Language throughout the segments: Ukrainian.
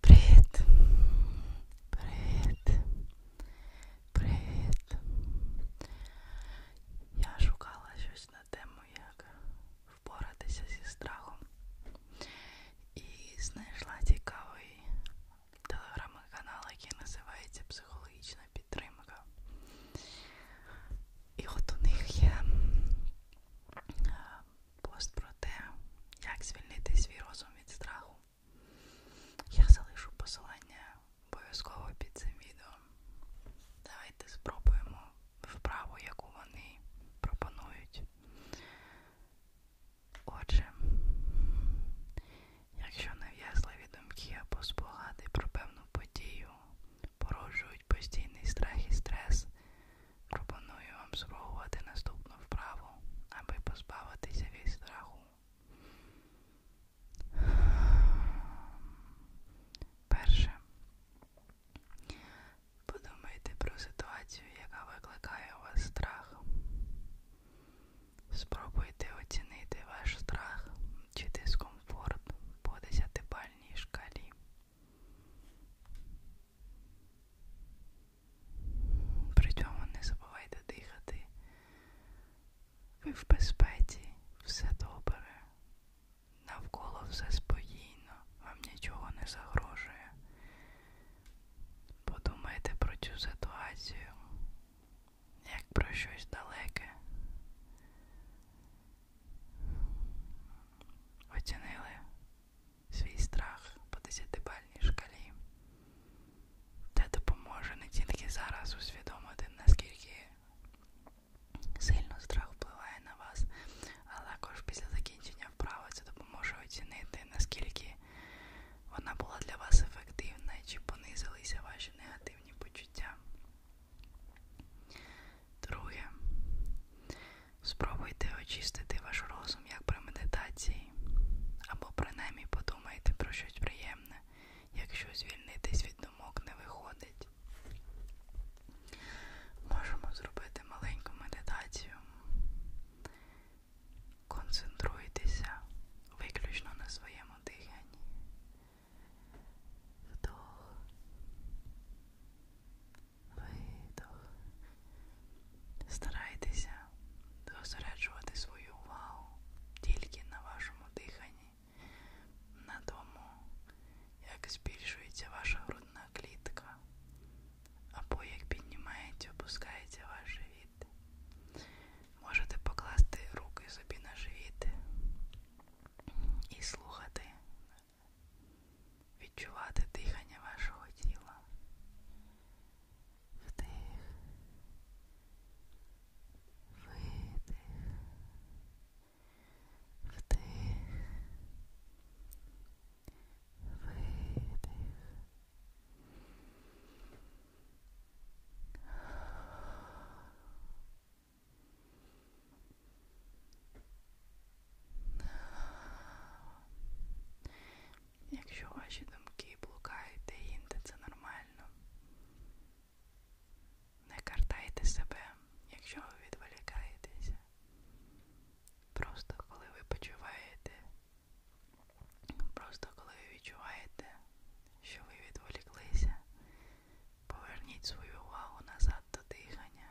Привіт. Привіт. Привіт. Я шукала щось на тему, як впоратися зі страхом. І знайшла цікавий телеграм-канал, який називається Психологічна підтримка. І от у них є е, пост про те, як звільнити свій розум від страху. Я залишу посилання обов'язково під цим відео. Давайте спробуємо вправу, яку вони пропонують. Отже, якщо нав'язливі думки або спогади про певну подію породжують постійний страх і стрес, Пропоную вам спробувати наступну вправу, аби позбавитися від страху. Перше. Подумайте про ситуацію, яка викликає у вас страх. Спробуйте оцінити ваш страх чи дискомфорт по десятипальній шкалі. При цьому не забувайте дихати. Ви в безпеці, все добре. Навколо все спокійно, вам нічого не загрожує. Подумайте про цю ситуацію, як про щось далеке. Оцінили свій страх по десятибальній шкалі. Це допоможе не тільки зараз усвідомити, наскільки сильно страх впливає на вас, а також після закінчення вправи це допоможе оцінити, наскільки вона була для вас ефективна чи понизилися ваші негативні почуття. Друге, Спробуйте очистити ваш розум як при медитації, або принаймні подумайте про щось приємне, якщо звільнитись від думок не виходить. Можемо зробити маленьку медитацію. Концентруйтеся виключно на своєму диханні. Вдох видох. Старайтеся зосереджувати свою увагу тільки на вашому диханні, на тому, як збільшується ваша грудна клітка, або як піднімається, опускається ваш живіт. Можете покласти руки собі на живіт і слухати відчувати дихання вашого тіла. Вдих. Видих. Вдих. Видих. Якщо ваші думки блукають деінде, це нормально. Не картайте себе, якщо ви відволікаєтеся. Просто коли ви почуваєте, просто коли ви відчуваєте, що ви відволіклися, поверніть свою увагу назад до дихання.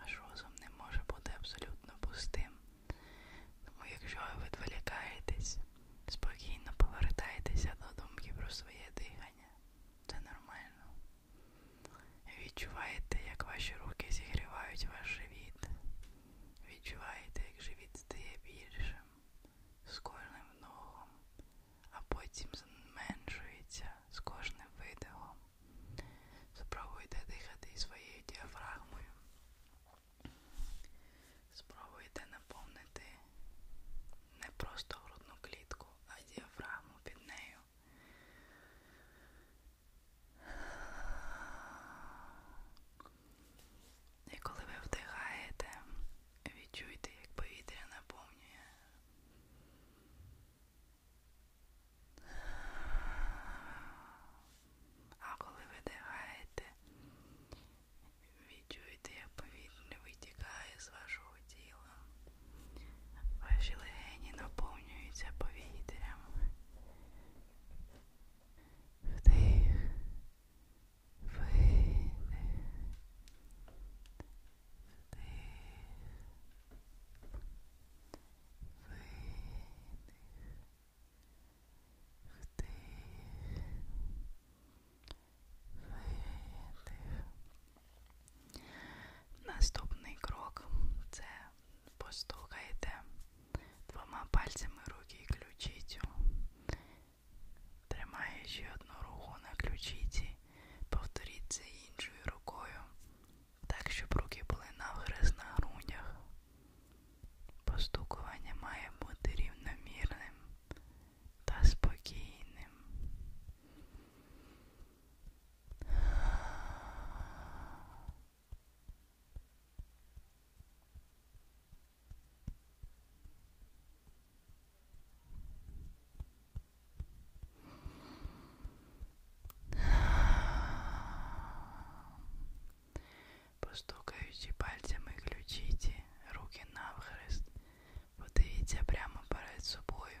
Ваш розум не може бути абсолютно пустим. Тому якщо ви відволікаєтесь, спокійно повертайтеся до думки про своє дихання. Це нормально. Відчуваєте, як ваші руки зігрівають ваш живіт. Відчуваєте, як живіт стає більшим з кожним ногом, а потім зменшується з кожним видихом. Спробуйте дихати своєю діафрагмою. Спробуйте наповнити не просто грудну клітку, а діафрагму під нею. І коли ви вдихаєте, відчуйте, як повітря наповнює а коли видихаєте, відчуєте, як повітря витікає з вашого похолоділо. Ваші легені наповнюються повітрям. Вдих, видих, вдих, видих, вдих, видих. Наступний крок це постукайте двома пальцями руки і ключицю, тримаючи одну руку на ключиці, повторіть це іншою рукою, так, щоб руки були навгриз на грудях. Постукування має бути рівномірним та спокійним. Постукаючи пальцями ключиці, руки навхрест, подивіться прямо перед собою.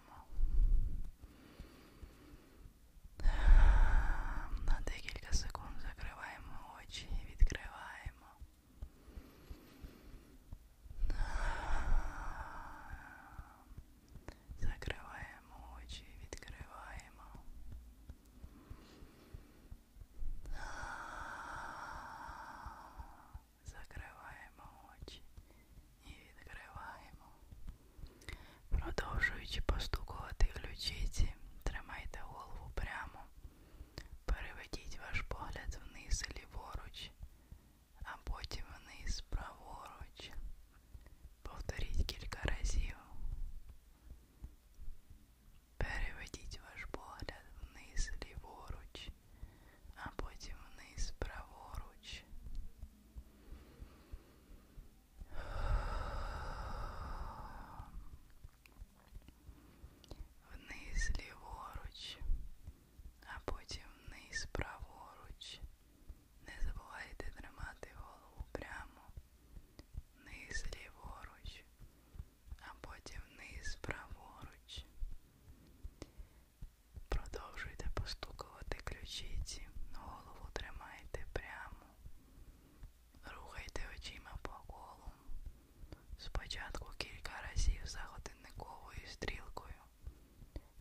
На декілька секунд закриваємо очі і відкриваємо. Закриваємо очі і відкриваємо. Закриваємо очі і відкриваємо. Продовжуючи постукувати ключиці, тримайте голову прямо. Переведіть ваш погляд вниз ліворуч, а потім вниз праворуч. Повторіть кілька разів. Переведіть ваш погляд вниз ліворуч, а потім вниз праворуч. Вниз ліворуч, а потім вниз праворуч. Не забувайте тримати голову прямо, вниз ліворуч, а потім вниз праворуч. Продовжуйте постукувати ключиці, голову тримайте прямо, рухайте очима по колу. Спочатку кілька разів за годинниковою стрілкою,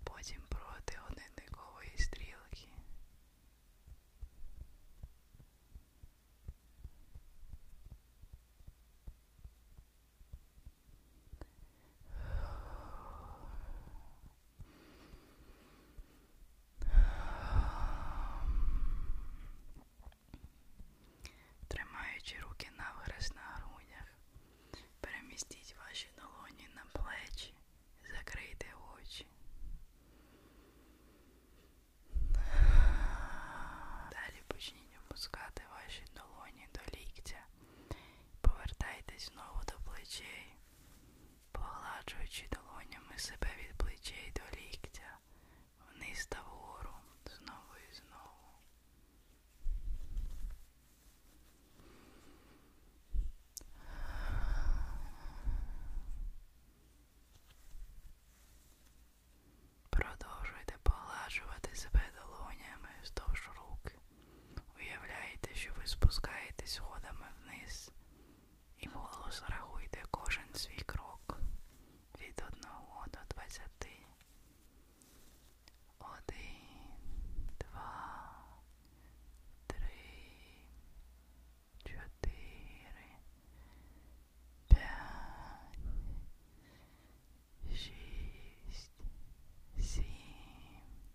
потім проти годинникової стрілки. Тримаючи руки навграз на грудях, перемістіть ваші долоні на плечі, закрийте очі. Далі почніть опускати ваші долоні до ліктя Повертайтесь знову до плечей, погладжуючи долонями себе від плечей до ліктя, вниз та вгору, знову і знову. Продовжуйте погладжувати себе долонями вздовж рук. Уявляєте, що ви спускаєтесь сходами вниз і голос рахуйте кожен свій крок від 1 до 20. Один, два, три, чотири, п'ять, шість, сім.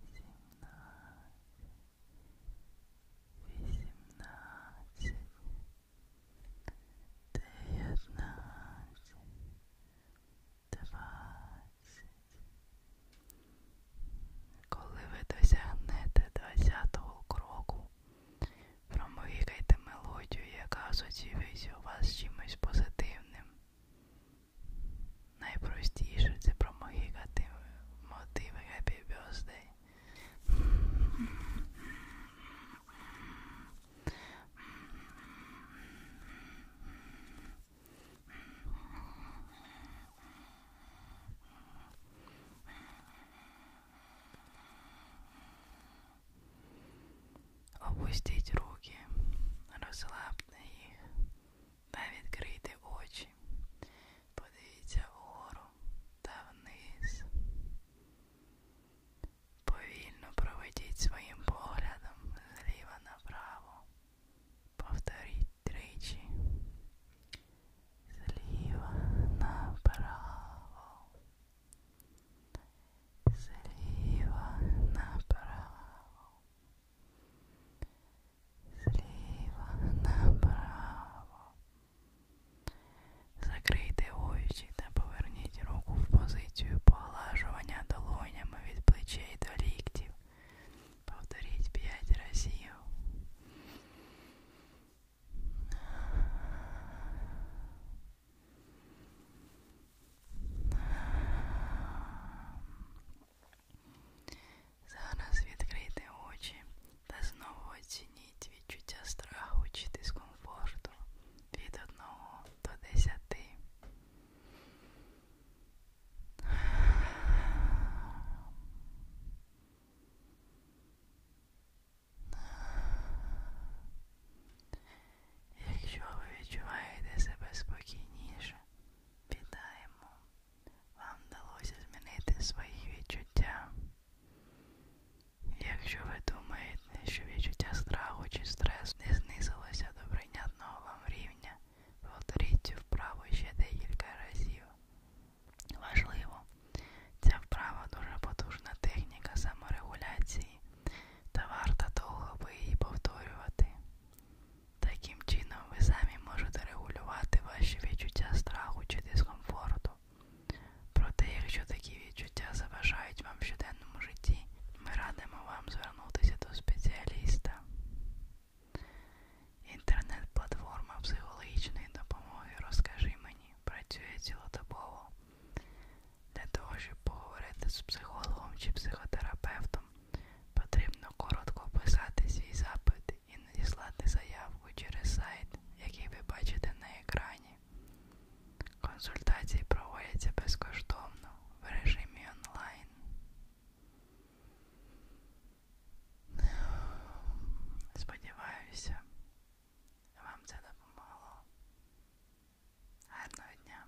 восемнадцать, девятнадцать, двадцять. Коли ви досягнете 20-го кроку, промовікайте мелодію, яка асоціюється у вас з чимось позитивним. Найпростіше це промигати мотиви Happy Birthday. Опустіть руки, розслабте їх, та відкрийте очі, подивіться вгору та вниз. Повільно проведіть своїм поглядом зліва направо. Повторіть тричі. Зліва направо. Зліва направо зліва направо. Закрийте очі та поверніть руку в позицію поглажування долонями від плечей до ліктів. Повторіть 5 разів. Зараз відкрийте очі та знову оцініть відчуття страху чи дискомфорту від 1 до 10. Якщо ви відчуваєте себе спокійніше, Вітаємо! Вам вдалося змінити свої відчуття. Якщо ви думаєте, що відчуття страху чи стресу не знизилося до прийнятного вам рівня, повторіть цю вправу ще декілька разів. Важливо, ця вправа дуже потужна техніка саморегуляції та варта довго би її повторювати. Таким чином, ви самі можете регулювати ваші відчуття страху чи дискомфорту. Проте, якщо такі відчуття заважають вам в щоденному житті, ми радимо вам звернутися до спеціаліста. Інтернет-платформа психологічної допомоги Розкажи мені працює цілодобово. Для того, щоб поговорити з психологом чи психотерапевтом, Потрібно коротко описати свій запит і надіслати заявку через сайт, який ви бачите на екрані. Консультації проводяться безкоштовно в режимі онлайн. Сподіваюся, вам це допомогло. Гарного дня!